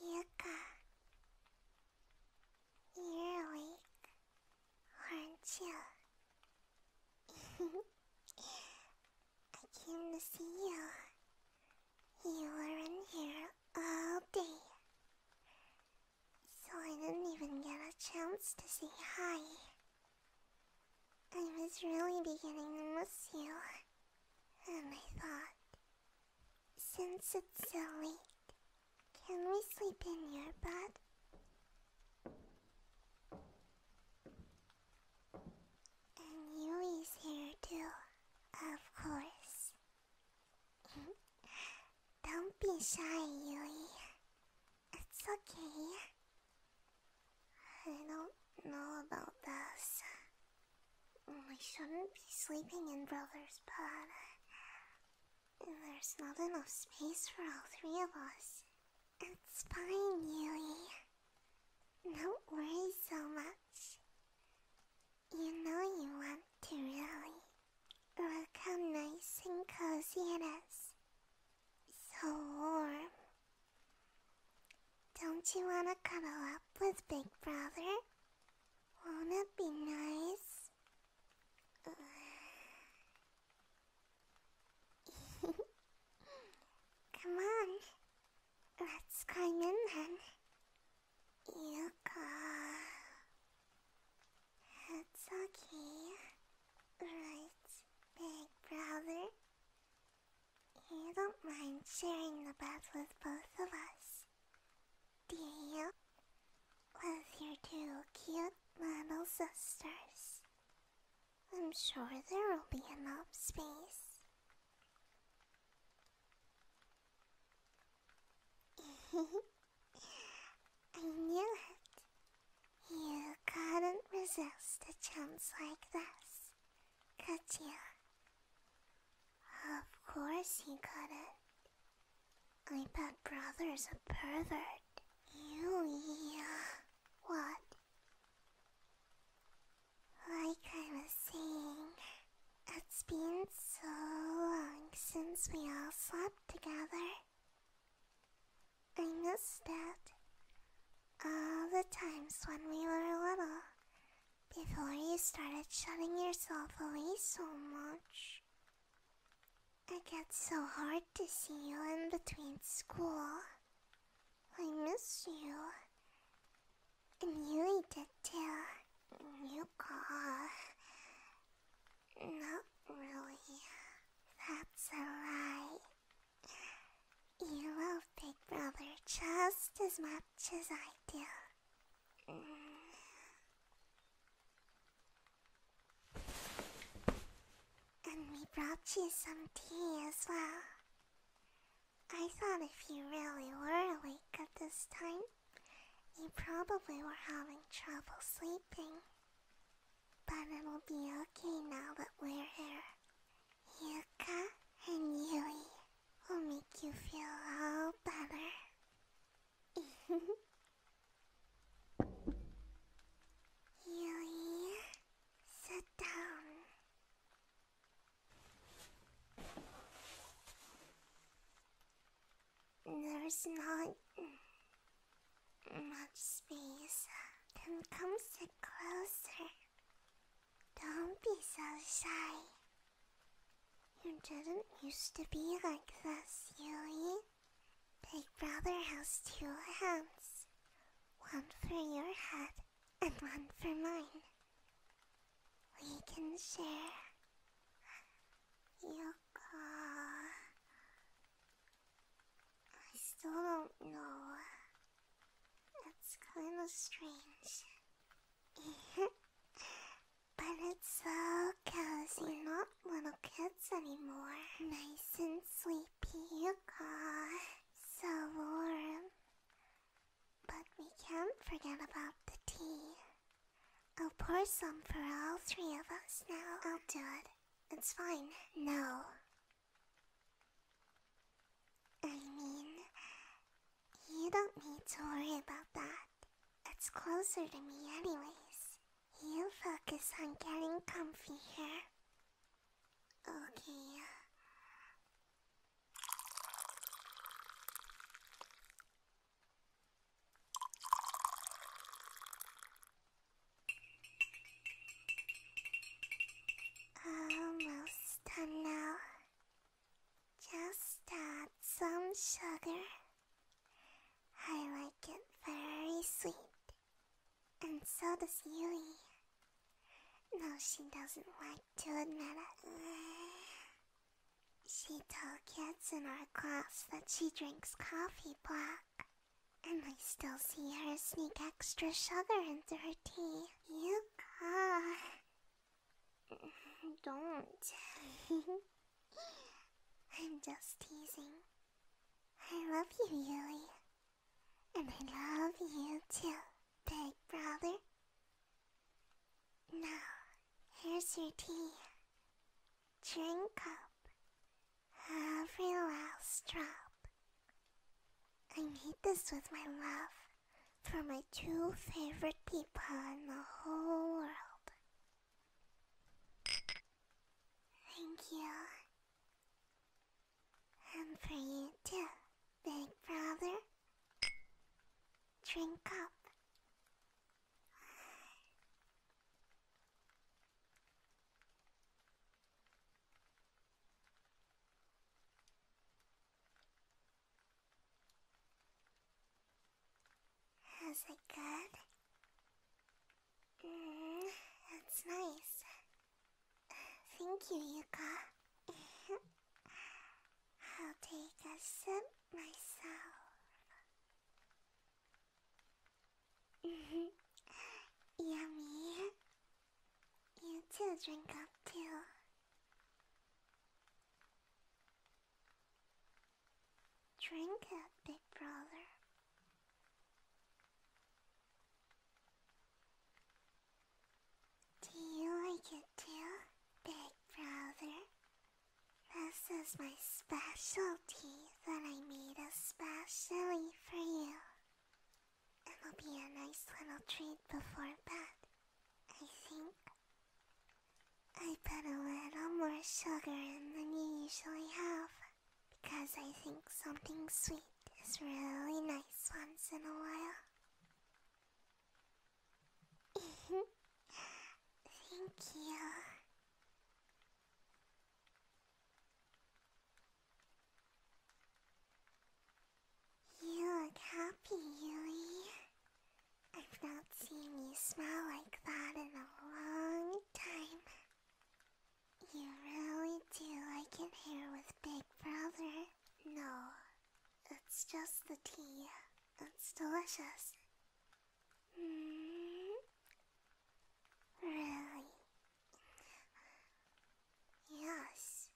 Yuka, you're awake, aren't you? I came to see you. You were in here all day, so I didn't even get a chance to say hi. I was really beginning to miss you, and I thought since it's so late, can we sleep in your bed? And Yui's here too, of course. Don't be shy, Yui. It's okay. I don't know about this. We oh, shouldn't be sleeping in Brother's bed. There's not enough space for all three of us. It's fine, Yui. Don't worry so much. You know you want to, really. Look how nice and cozy it is. So warm. Don't you want to cuddle up with Big Brother? Won't that be nice? Come on, let's climb in then. Yuka. It's okay, right, big brother? You don't mind sharing the bath with both of us, deal with your two cute little sisters. I'm sure there will be enough space. I knew it. You couldn't resist a chance like this, could you? Of course you couldn't. I bet brother's a pervert. Ew, yeah. What? Like I was saying, it's been so long since we all slept together. I missed it. All the times when we were little before you started shutting yourself away so much. It gets so hard to see you in between school. I miss you. And you did too. Yuka. Not really. That's a lie. You love Big Brother just as much as I do. And we brought you some tea as well. I thought if you really were awake at this time, you probably were having trouble sleeping. But it'll be okay now that we're here. Yuka and Yui will make you feel all better. Yui, sit down. There's not much space. come sit closer. Don't be so shy. You didn't used to be like this, Yui. Big Brother has two hands. One for your head and one for mine. We can share. Yoko. I still don't know. It's kinda strange but it's so cozy, not little kids anymore. Nice and sleepy, aw, so warm. But we can't forget about the tea. I'll pour some for all three of us now. I'll do it. It's fine. No. I mean, you don't need to worry about that. It's closer to me, anyways. You focus on getting comfy here. Okay. Almost done now. Just add uh, some sugar. I like it very sweet. And so does Yui. No, she doesn't like to admit it. She told kids in our class that she drinks coffee black. And I still see her sneak extra sugar into her tea. You Yuka, don't. I'm just teasing. I love you, Yui. And I love you too, big brother. Now, here's your tea. Drink up. Every last drop. I made this with my love for my two favorite people in the whole world. Thank you. And for you too, big brother. Drink up. Is it good? Mmm, that's nice. Thank you, Yuka. I'll take a sip myself. Yummy. You two drink up too. Drink up, big brother. Do you like it too, big brother? This is my specialty that I made especially for you. It'll be a nice little treat before bed. I think I put a little more sugar in than you usually have because I think something sweet is really nice once in a while. Thank you. You look happy, Yui. I've not seen you smile like that in a long time. You really do like it here with Big Brother. No, it's just the tea. It's delicious. Mm, really? Yes.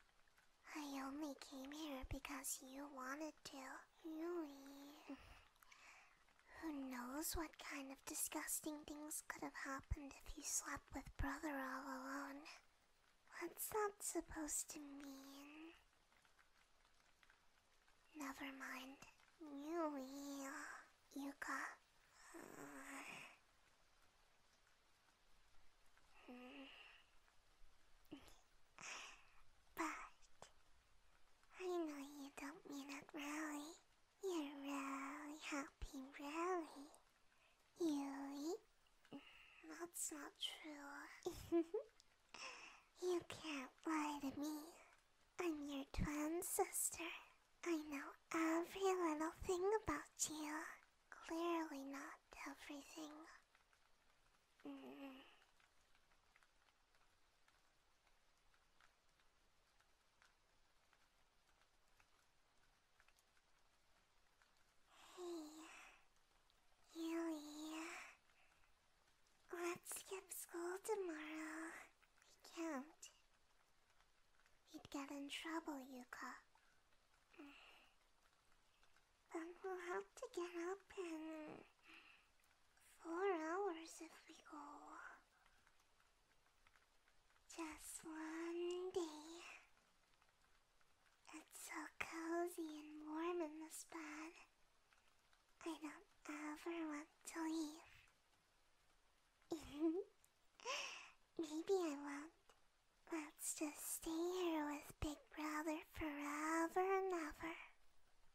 I only came here because you wanted to really? Who knows what kind of disgusting things could have happened if you slept with brother all alone? What's that supposed to mean? Never mind. Yui, Yuka. Uh, but I know you don't mean it really. You're really happy, really. Yui? That's not true. you can't lie to me. I'm your twin sister. I know every little thing about you. Clearly not everything. Mm. Hey, Yui. Let's skip school tomorrow. We can't. You'd get in trouble, Yuka. Then we'll have to get up and... Four hours if we go. Just one day. It's so cozy and warm in this bed. I don't ever want to leave. Maybe I won't. Let's just stay here with Big big brother forever and ever.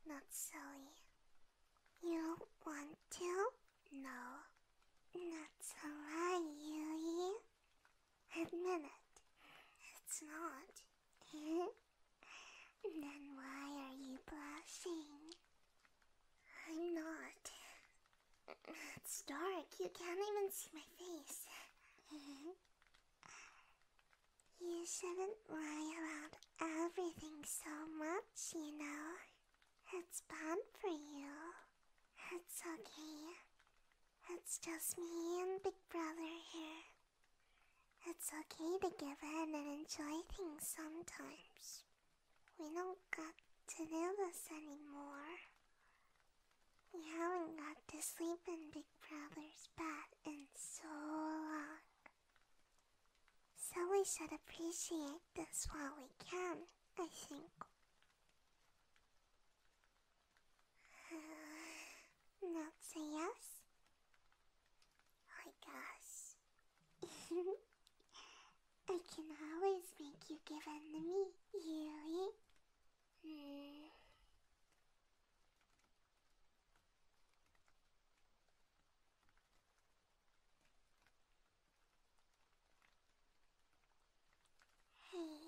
Not silly. You don't want to? No. That's alright, Yui. Admit it. It's not. then why are you blushing? I'm not. It's dark. You can't even see my face. You shouldn't worry about everything so much, you know. It's bad for you. It's okay. It's just me and Big Brother here. It's okay to give in and enjoy things sometimes. We don't got to do this anymore. We haven't got to sleep in Big Brother's bed in so long. So we should appreciate this while we can, I think. Uh, that's yes? I guess. I can always make you give in to me, Yui. Hmm. Hey,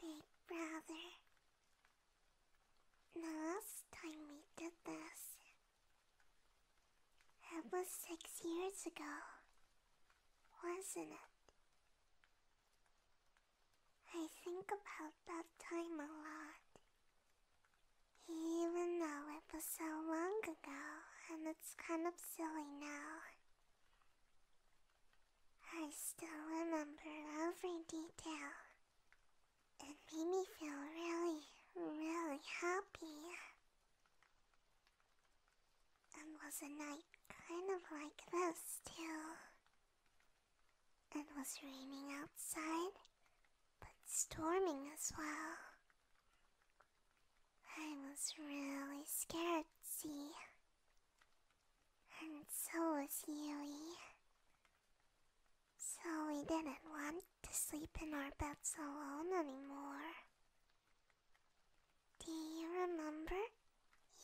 big brother. The last time we did this, it was six years ago, wasn't it? I think about that time a lot. Even though it was so long ago and it's kind of silly now. I still remember every detail. It made me feel really, really happy. And was a night kind of like this, too. It was raining outside, but storming as well. I was really scared, see? And so was Yui. So we didn't want to sleep in our beds alone anymore. Do you remember,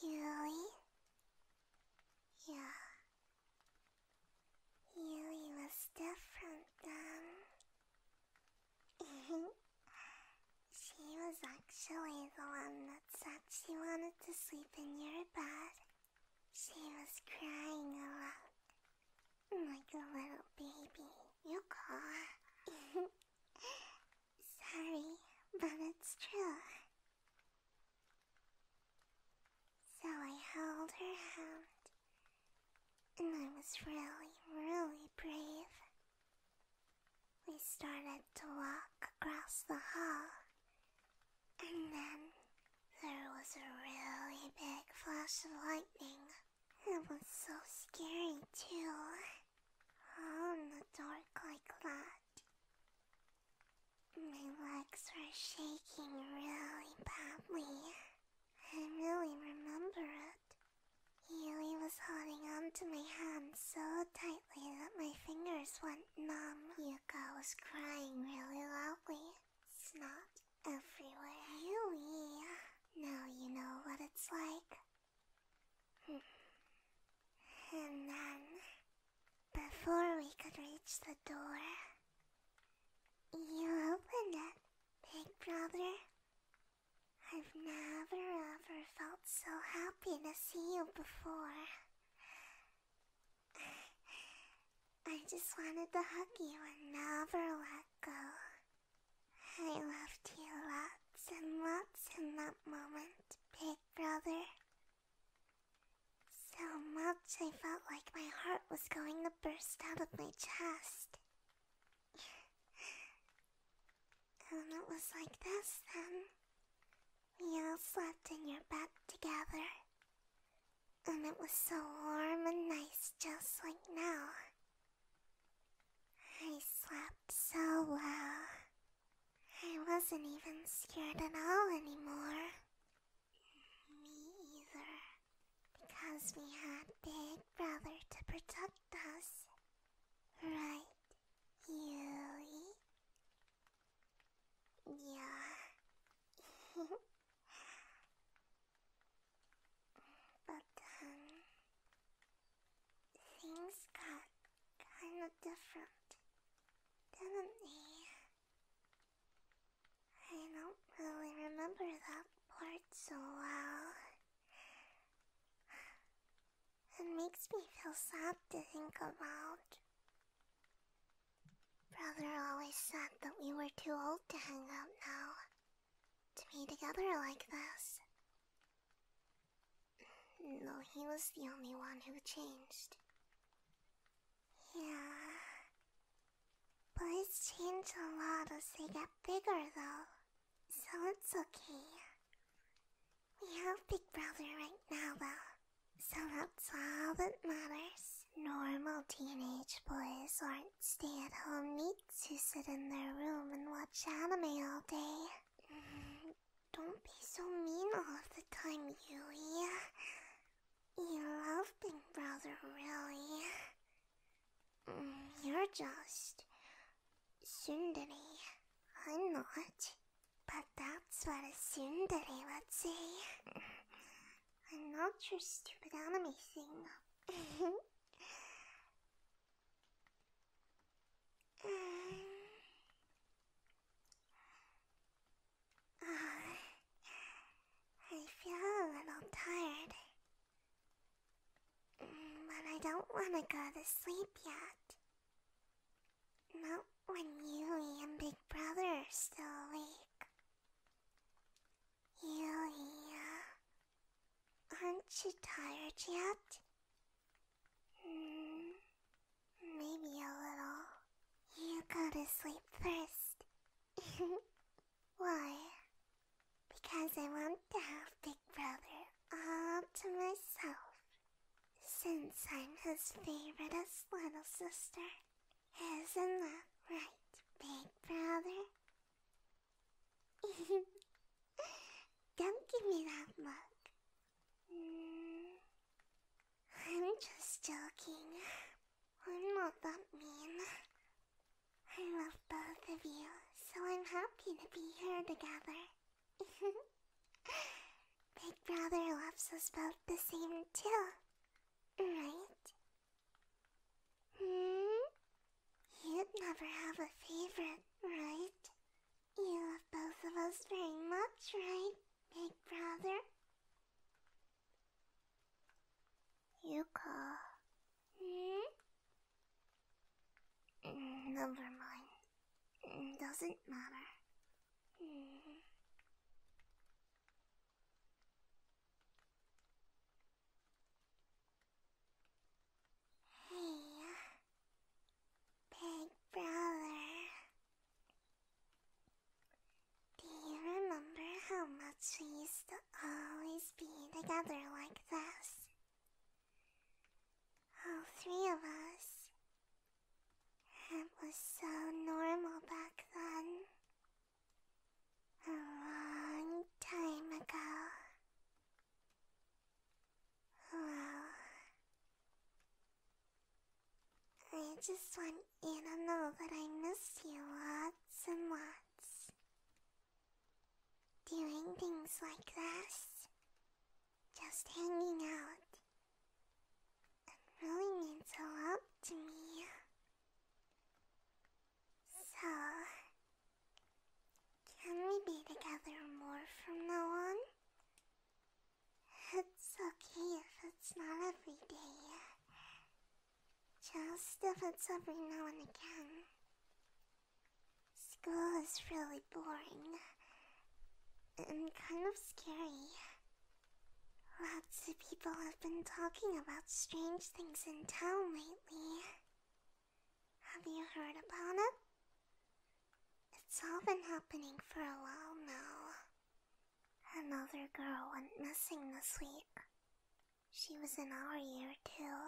Yui? Yeah, you were different then. she was actually the one that said she wanted to sleep in your bed. She was crying a lot. Like a little baby, you call. Sorry, but it's true. So I held her hand, and I was really, really brave. We started to walk across the hall, and then there was a really big flash of lightning. It was so scary, too. How in the dark like that? My legs were shaking really badly. I really remember it. Yui was holding onto my hand so tightly that my fingers went numb. Yuka was crying really loudly. Snot everywhere. Yui, now you know what it's like. Hmm. And then before we could reach the door, you opened it, big brother. I've never ever felt so happy to see you before. I just wanted to hug you and never let go. I loved you lots and lots in that moment, big brother. So much I felt like my heart was going to burst out of my chest. and it was like this then. We all slept in your bed together. And it was so warm and nice just like now. I slept so well. I wasn't even scared at all anymore. Me either. Because we had Big Brother to protect us. Right, Yui? Yeah. but, um, things got kinda different, didn't they? I don't really remember that part so well. It makes me feel sad to think about. Brother always said that we were too old to hang out now, to be together like this. No, he was the only one who changed. Yeah. Boys change a lot as they get bigger, though, so it's okay. We have Big Brother right now, though, so that's all that matters. Normal teenage boys aren't stay at home neats who sit in their room and watch anime all day. Mm, don't be so mean all the time, Yui. You love Big Brother, really. Mm, you're just. Sundari. I'm not. But that's what a would say. I'm not your stupid enemy, thing. Uh, I feel a little tired. But mm, I don't want to go to sleep yet. Not when you and Big Brother are still awake. Yui, aren't you tired yet? Mm, maybe a little. You go to sleep first. Why? Because I want to have Big Brother all to myself. Since I'm his favoriteest little sister. Isn't that right, Big Brother? Don't give me that look. Mm. I'm just joking. I'm not that mean. I love both of you, so I'm happy to be here together. Big Brother loves us both the same too, right? Hmm? You'd never have a favorite, right? You love both of us very much, right, Big Brother? ゆか。Hmm? Mm, never mind. Mm, doesn't matter. Hmm. Hey, big brother. Do you remember how much we used to always be together like this? All three of us. It was so normal back then. A long time ago. Well, I just want you to know that I miss you lots and lots. Doing things like this, just hanging out, it really means a lot to me. So, can we be together more from now on? It's okay if it's not every day. Just if it's every now and again. School is really boring and kind of scary. Lots of people have been talking about strange things in town lately. Have you heard about it? It's all been happening for a while now. Another girl went missing this week. She was in our year too.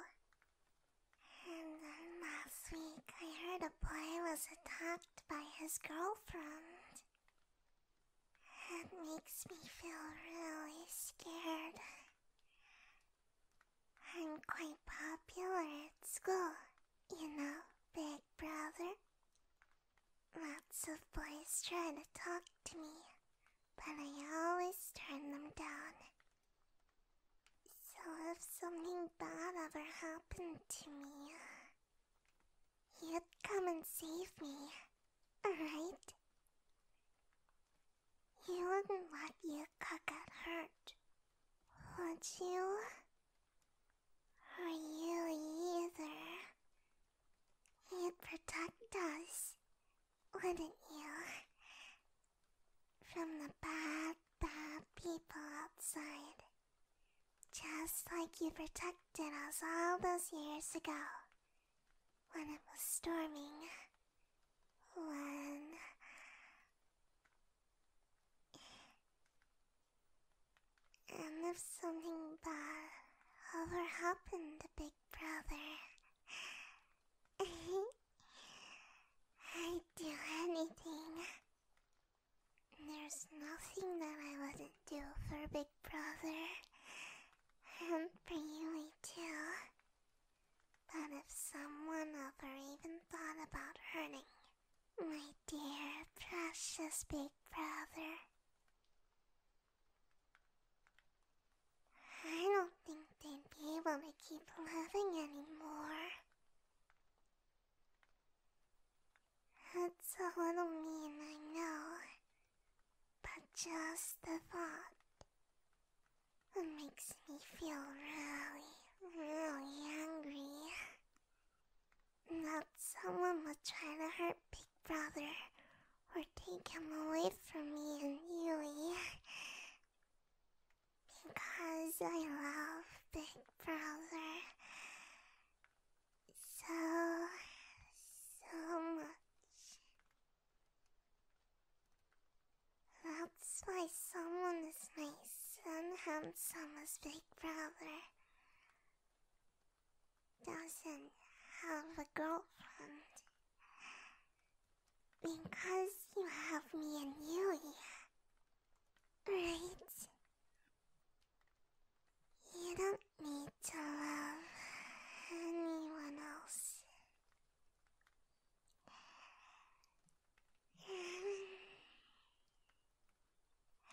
And then last week I heard a boy was attacked by his girlfriend. It makes me feel really scared. I'm quite popular at school, you know, Big Brother. Lots of boys try to talk to me, but I always turn them down. So if something bad ever happened to me, you'd come and save me, alright? You wouldn't let you get hurt, would you? Are you either you protect us, wouldn't you? From the bad, bad people outside. Just like you protected us all those years ago. When it was storming. When. And if something bad ever happened to Big Brother, I'd do anything. There's nothing that I wouldn't do for Big Brother, and for you too. But if someone ever even thought about hurting my dear, precious Big Brother, I don't think they'd be able to keep loving anymore. It's a little mean, I know, but just the thought makes me feel really, really angry that someone will try to hurt Big Brother or take him away from me and Yui. Because I love Big Brother so, so much. That's why someone is as nice and handsome as Big Brother doesn't have a girlfriend. Because you have me and Yui. Right? You don't need to love anyone else.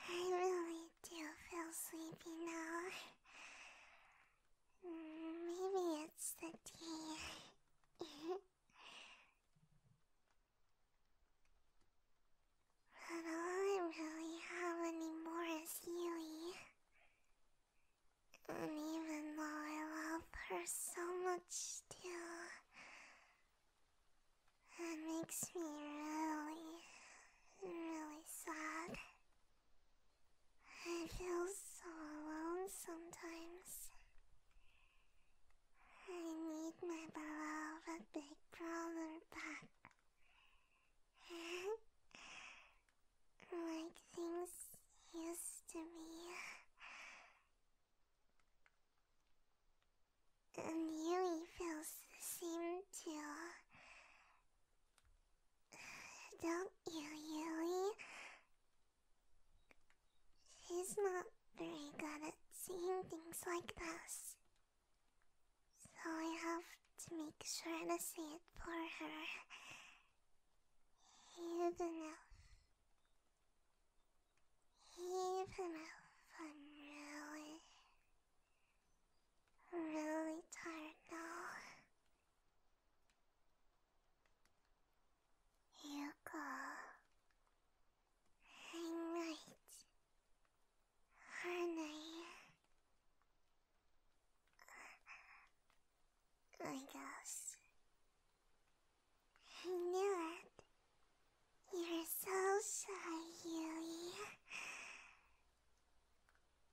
I really do feel sleepy now. Maybe it's the tea. But all I really have anymore is Yui. And even though I love her so much still, that makes me really, really sad. I feel so alone sometimes. I need my beloved big brother back. like things used to be. And Yui feels the same too. Don't you, Yui? She's not very good at seeing things like this. So I have to make sure to see it for her. Even if. Even if I'm really really tired now. You go. I'm right, aren't I? guess. I knew it. You're so shy, Yui.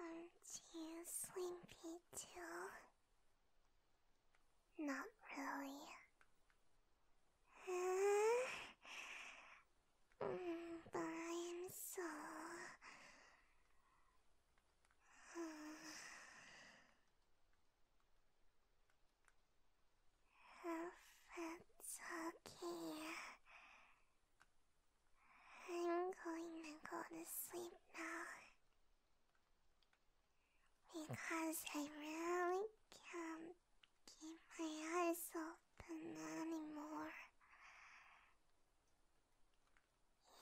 Aren't you sleepy too? Not really. Uh, but I'm so. Uh, okay, I'm going to go to sleep now. Because I really can't keep my eyes open anymore.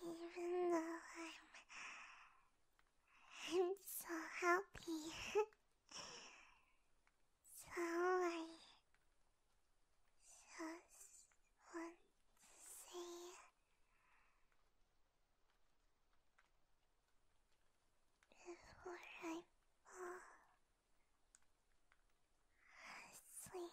Even though I'm, I'm so happy. so I just want to say before I fall asleep.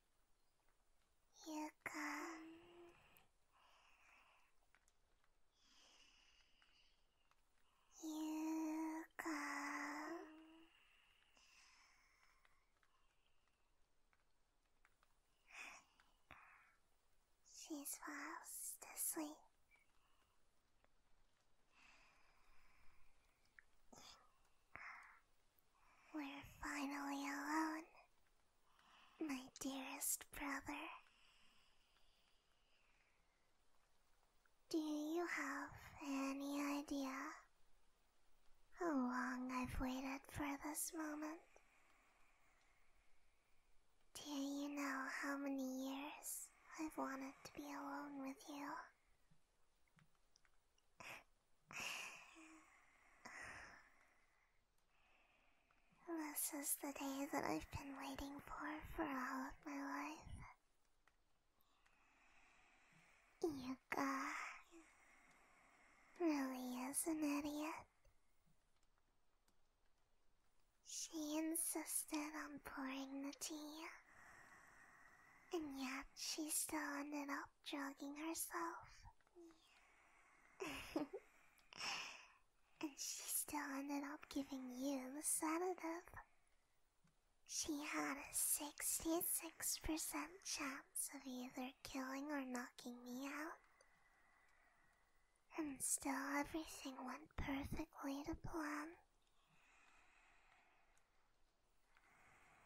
You can, You can. She falls asleep. We're finally alone, my dearest brother. Do you have any idea how long I've waited for this moment? Do you know how many years I've wanted to be alone with you? This is the day that I've been waiting for for all of my life. You guys really is an idiot. She insisted on pouring the tea, and yet she still ended up stop drugging herself. and she still ended up giving you the sedative. She had a 66% chance of either killing or knocking me out. And still everything went perfectly to plan.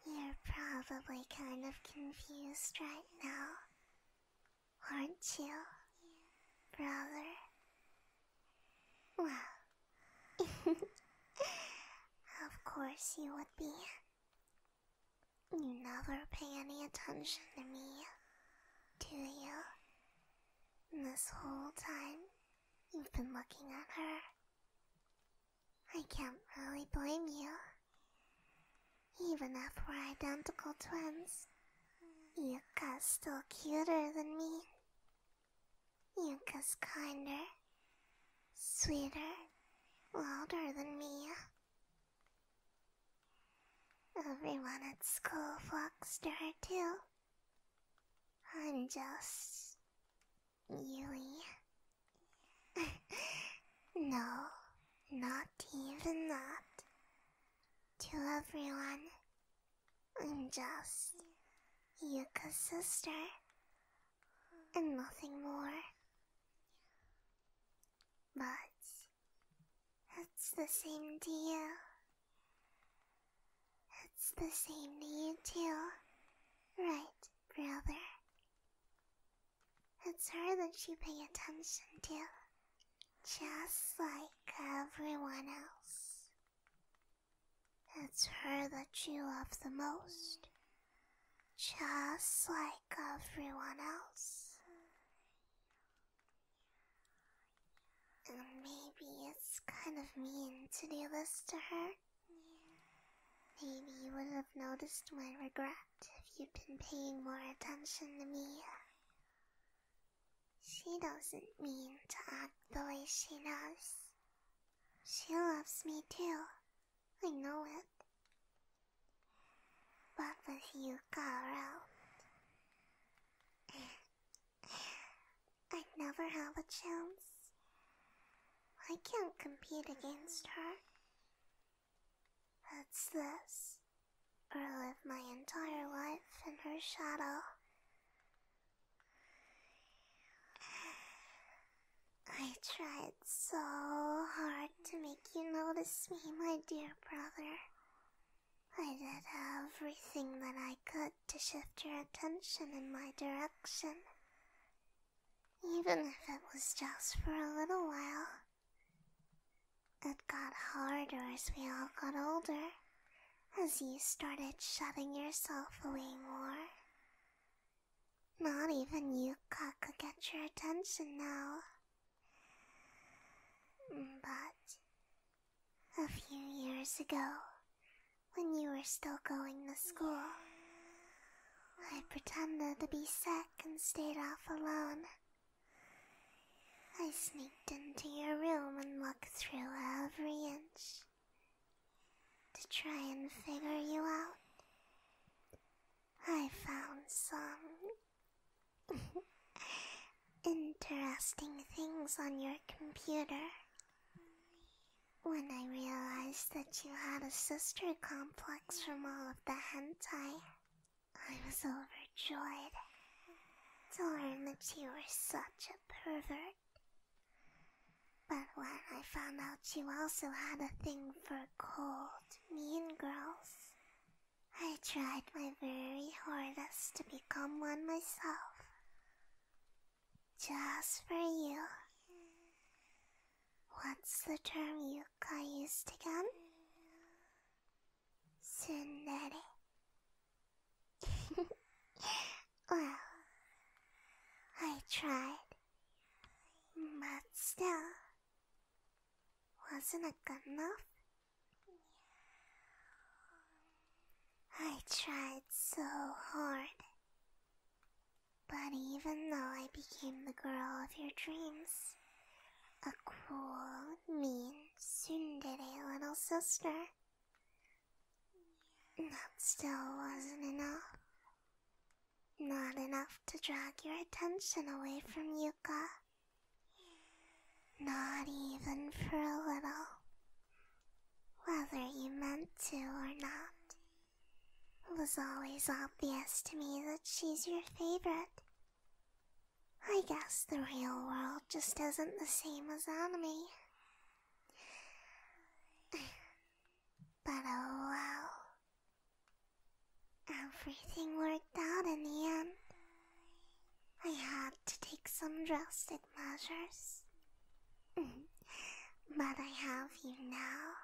You're probably kind of confused right now, aren't you, brother? Well, of course you would be. You never pay any attention to me, do you? This whole time, you've been looking at her. I can't really blame you. Even if we're identical twins, Yuka's still cuter than me. Yuka's kinder, sweeter, wilder than me. Everyone at school flocks to her too. I'm just Yui. no, not even that. To everyone, I'm just Yuka's sister, and nothing more. But it's the same to you. It's the same to you too, right, brother? It's her that you pay attention to, just like everyone else. It's her that you love the most, just like everyone else. And maybe it's kind of mean to do this to her. Maybe you would have noticed my regret if you'd been paying more attention to me. She doesn't mean to act the way she does. She loves me too. I know it. But with you, Carol? i never have a chance. I can't compete against her. That's this. Or live my entire life in her shadow. I tried so hard to make you notice me, my dear brother. I did everything that I could to shift your attention in my direction, even if it was just for a little while. It got harder as we all got older, as you started shutting yourself away more. Not even you could get your attention now. But a few years ago, when you were still going to school, I pretended to be sick and stayed off alone. I sneaked into your room and looked through every inch to try and figure you out. I found some interesting things on your computer. When I realized that you had a sister complex, plucks from all of the hentai, I was overjoyed to learn that you were such a pervert. But when I found out you also had a thing for cold, mean girls, I tried my very hardest to become one myself. Just for you. What's the term you guy used again? Tsundere. well, I tried. But still, wasn't good enough? I tried so hard. But even though I became the girl of your dreams, a cool, mean, tsundere little sister, that still wasn't enough. Not enough to drag your attention away from Yuka. Not even for a little. Whether you meant to or not, it was always obvious to me that she's your favorite. I guess the real world just isn't the same as anime. But oh well. Everything worked out in the end. I had to take some drastic measures. but I have you now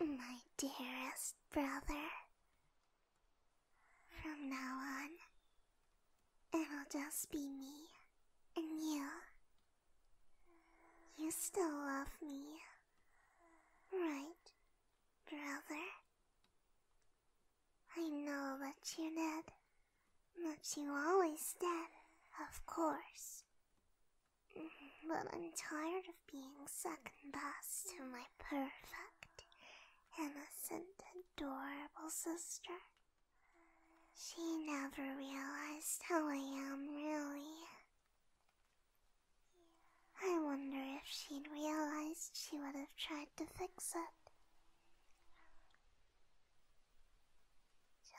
my dearest brother. From now on, it'll just be me and you. You still love me, right, brother? I know that you did, but you always did, of course. But I'm tired of being second best to my perfect, innocent, adorable sister. She never realized how I am, really. I wonder if she'd realized she would have tried to fix it.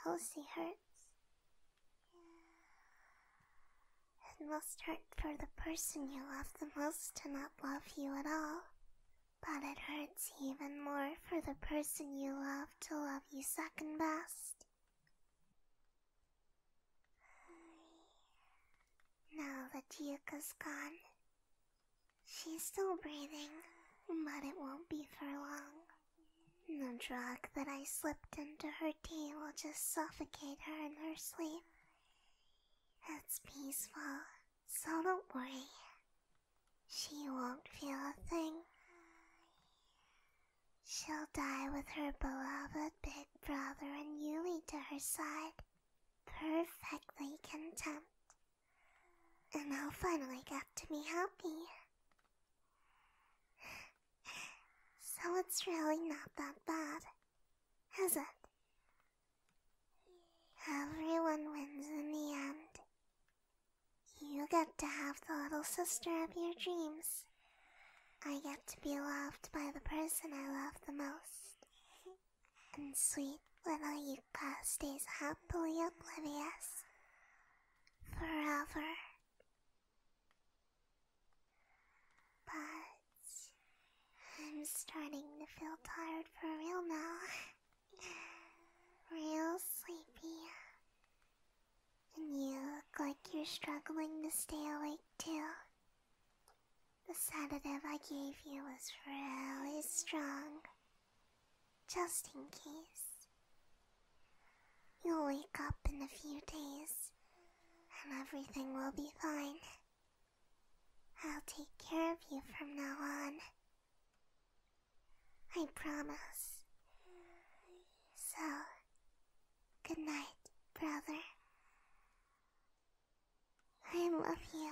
Chelsea hurts, it must hurt for the person you love the most to not love you at all. But it hurts even more for the person you love to love you second best. Now that Duke has gone, she's still breathing, but it won't be for long. The drug that I slipped into her or will just suffocate her in her sleep. That's peaceful, so don't worry. She won't feel a thing. She'll die with her beloved big brother and Yuli to her side, perfectly content. And I'll finally get to be happy. So it's really not that bad, is it? Everyone wins in the end. You get to have the little sister of your dreams. I get to be loved by the person I love the most. And sweet little Yuka stays happily oblivious. Forever. But I'm starting to feel tired for real now. Real sleepy. And you look like you're struggling to stay awake too. The sedative I gave you was really strong. Just in case. You'll wake up in a few days and everything will be fine. I'll take care of you from now on. I promise. So, good night, brother. I love you.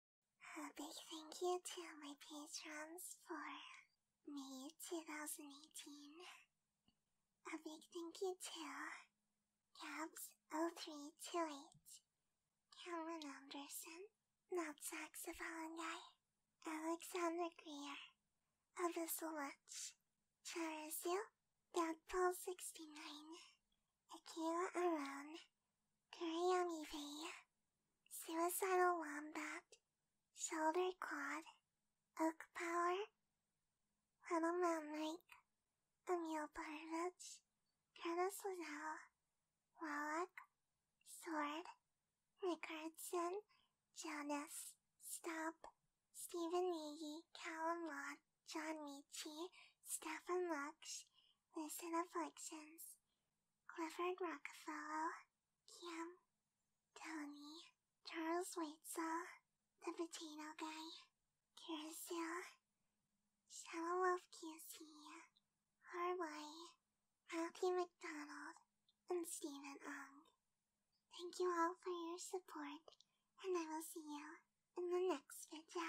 A big thank you to my patrons for May 2018. A big thank you to Gabs0328, Cameron Anderson, Not Saxophone Guy, Alexander Greer, Abyssal Witch, Charizil, Dogpaw69, Akira Aron, Kuriyami Bay, Suicidal Wombat, Shoulder Quad, Oak Power, Little Mountain Lake, Emil Parovich, Curtis Liddell, Wallach, Sword, Rickardson, Jonas, Stubb, Stephen Nagy, Callum Lott, John Michi, Stefan Lux, Lucid Afflictions, Clifford Rockefeller, Cam, Tony, Charles Waitsaw, the potato guy, Carousel, Shadow Wolf QC, McDonald, and Stephen Ong. Thank you all for your support, and I will see you in the next video.